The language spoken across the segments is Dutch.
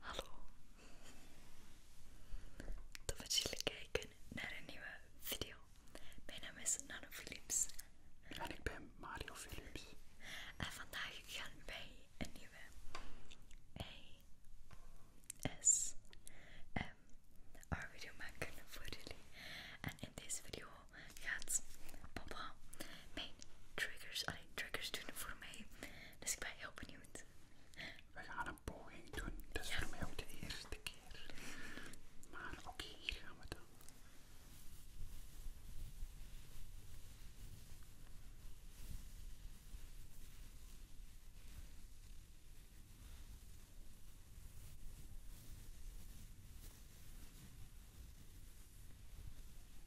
Hallo. Tof dat jullie kijken naar een nieuwe video. Mijn naam is Nano Philips. En ik ben Mario Philips. En vandaag gaan wij een nieuwe ASMR video maken voor jullie. En in deze video gaat papa mijn triggers, alleen triggers doen voor mij. Dus ik ben heel benieuwd. We gaan een poging doen. Dat is voor mij ook de eerste keer. Maar oké, hier gaan we dan.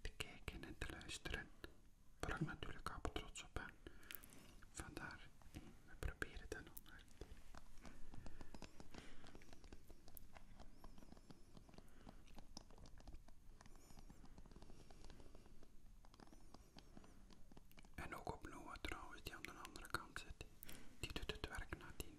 te kijken en te luisteren, waar ik natuurlijk al trots op ben. Vandaar, we proberen dat nog maar. En ook op Noah trouwens, die aan de andere kant zit. Die doet het werk nadien.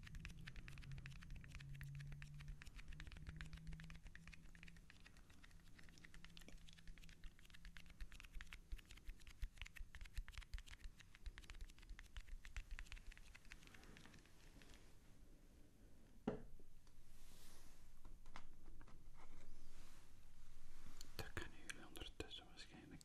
Daar kunnen jullie ondertussen waarschijnlijk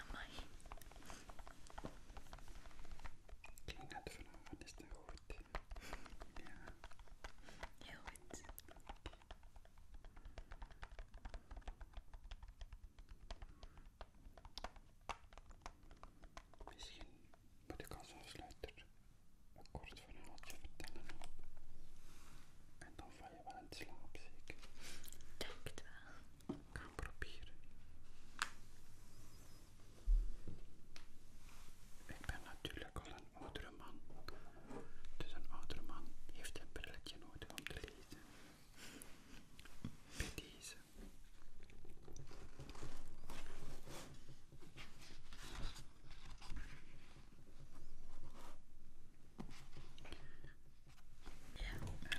Amai. Kijk, net vanavond is dat goed. Ja. Heel goed. Misschien moet ik als afsluiten een kort verhaaltje vertellen. En dan val je wel in slaap, zeker. Denk het wel. Ik ga proberen. Ik ben natuurlijk al een oudere man. Dus een oudere man heeft een brilletje nodig om te lezen. deze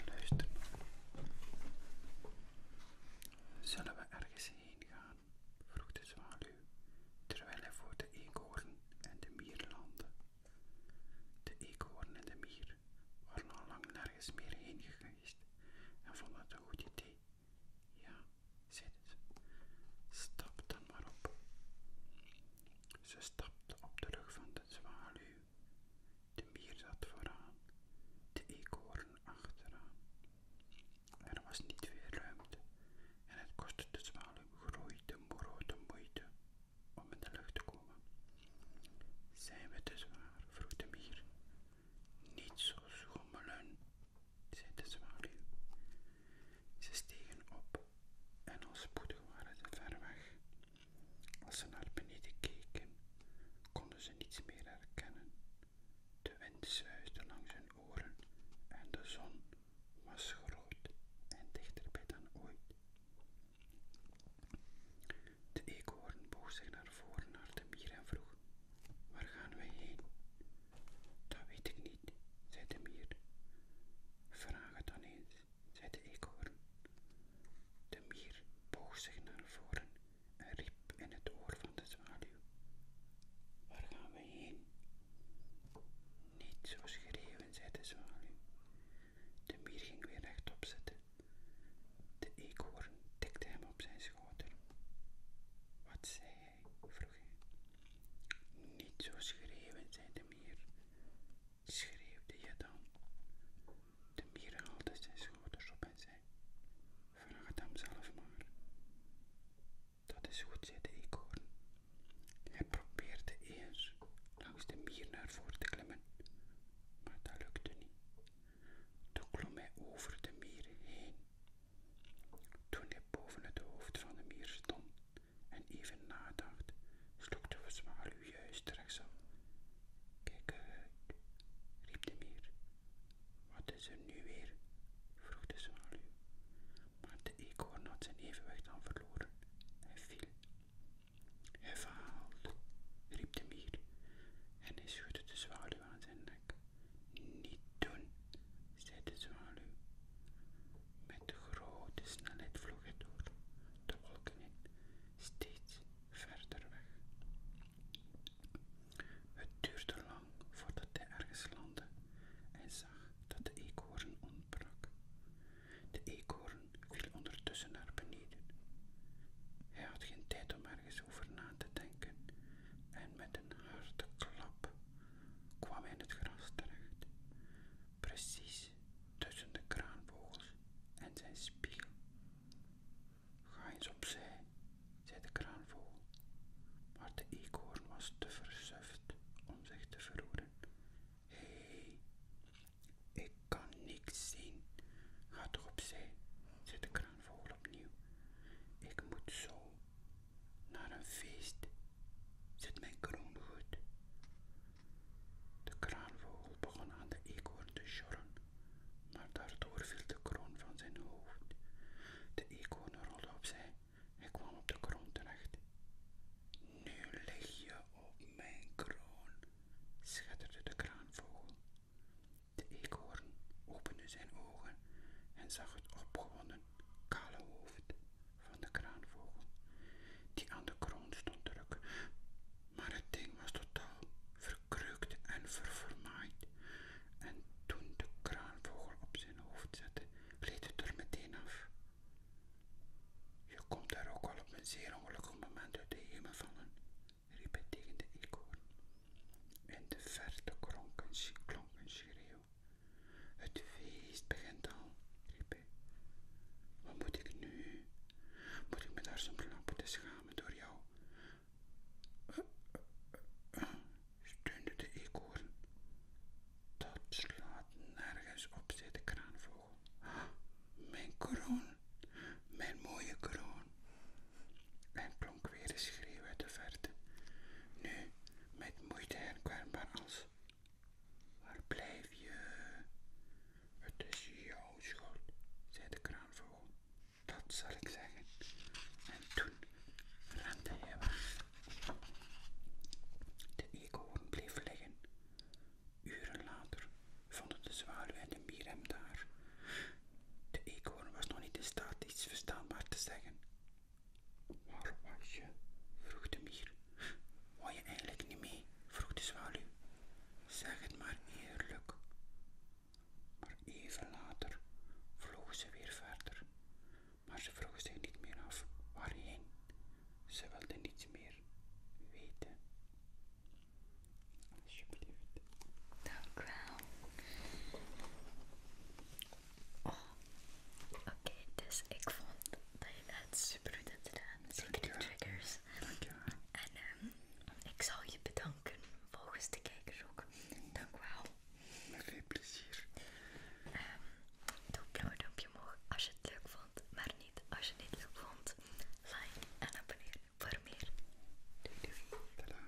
luister. Zullen we ergens heen gaan? vroeg de zwaluw, terwijl hij voor de eekhoorn en de mier landde. De eekhoorn en de mier waren al lang nergens meer heen geweest en vonden het een goed idee. Ja, zij het. stap dan maar op. Ze stapte op de rug van de zwaluw. De mier zat vooraan, de eekhoorn achteraan. Er was niet veel ruimte en het kostte de zwaluw groeite grote moeite om in de lucht te komen. Zijn we te zwaar? vroeg de mier. Niet zo schommelen, ze de zwaluw. Ze stegen op en al spoedig waren ze ver weg. Als ze naar beneden keken, konden ze niets meer herkennen. De wind zuisde langs hun oren en de zon was groot en dichterbij dan ooit. De eekhoorn boog zich naar voren naar de mier en vroeg: Waar gaan wij heen? Dat weet ik niet, zei de mier. Vraag het dan eens, zei de eekhoorn. De mier boog zich naar voren en riep in het oor van de zwaluw. Waar gaan we heen? Niet zo schreeuwen, zei de zwaluw. De mier ging weer rechtop zitten. De eekhoorn tikte hem op zijn schouder. Wat zei hij?" vroeg hij. Niet zo schreeuwen, zei de mier. Schreeuwde je dan? De mier haalde zijn schouders op en zei: Vraag het hem zelf maar. Dat is goed, zei de eekhoorn. Hij probeerde eerst langs de mier naar voren te klimmen, maar dat lukte niet. Toen klom hij over de mier heen toen hij boven het hoofd van de mier stond en even nadacht, sloeg de zwaluw juist rechtsaf. Kijk uit, riep de mier. Wat is er nu weer? vroeg de zwaluw. Maar de eekhoorn had zijn evenwicht al verloren. Hij viel. Hij vaalt, riep de mier en hij schudde de zwaluw aan zijn nek. Niet doen, zei de zwaluw. Met grote snelheid vloog hij door de wolken in, steeds verder weg. Het duurde lang voordat hij ergens landde en zag dat de eekhoorn ontbrak. De eekhoorn viel ondertussen naar beneden. Hij had geen tijd om ergens over na te denken en met een harde klap kwam in het gras terecht, precies tussen de kraanvogels en zijn spiegel. Ga eens opzij, zei de kraanvogel, maar de eekhoorn was te versuft om zich te verroeren. Hé, ik kan niks zien. Ga toch opzij, zei de kraanvogel opnieuw. Ik moet zo naar een feest zit mijn kroon goed. De kraanvogel begon aan de eekhoorn te sjorren, maar daardoor viel de kroon van zijn hoofd. De eekhoorn rolde opzij en kwam op de kroon terecht. Nu lig je op mijn kroon, schitterde de kraanvogel. De eekhoorn opende zijn ogen en zag het opgewonden kale hoofd van de kraanvogel, die aan de kroon stond te drukken, Maar het ding was totaal verkreukt en ververmaaid, en toen de kraanvogel op zijn hoofd zette, gleed het er meteen af. Je komt daar ook al op een zeer ongelukkig moment uit de hemel vallen, riep hij tegen de eekhoorn. In de verte klonk een schreeuw het feest begint al, riep Wat moet ik nu? Moet ik me daar zo'n moeten schamen door jou? Eh, eh, steunde de eekhoorn. Dat slaat nergens op, zei de kraanvogel. Mijn kroon, mijn mooie kroon. En klonk weer een schreeuw uit de verte. Nu, met moeite herkenbaar als Waar blijf je? Het is jouw schuld, zei de kraanvogel. Dat zal ik zeggen. En toen rende hij weg. De eekhoorn bleef liggen. Uren later vonden de zwaluw en de mier daar. De eekhoorn was nog niet in staat iets verstaanbaar te zeggen. Waar was je? vroeg de mier. Wou je eigenlijk niet mee? vroeg de zwaluw. Zeg het maar eerlijk. Maar even later vloog ze weer verder. Maar ze vroeg zich niet meer af waarheen. Ze wilde niets meer weten. Alsjeblieft. Dank wel. Oh. Oké, dus ik vond dat je het super goed hebt gedaan. Zeker de triggers. Dankjewel. En ehm, ik zal je bedanken, volgens de kijkers ook. Dank wel. Met veel plezier. Ehm, doe een blauw omhoog als je het leuk vond, maar niet als je het niet leuk vond. Like en abonneer voor meer. Doei doei. Tadaa.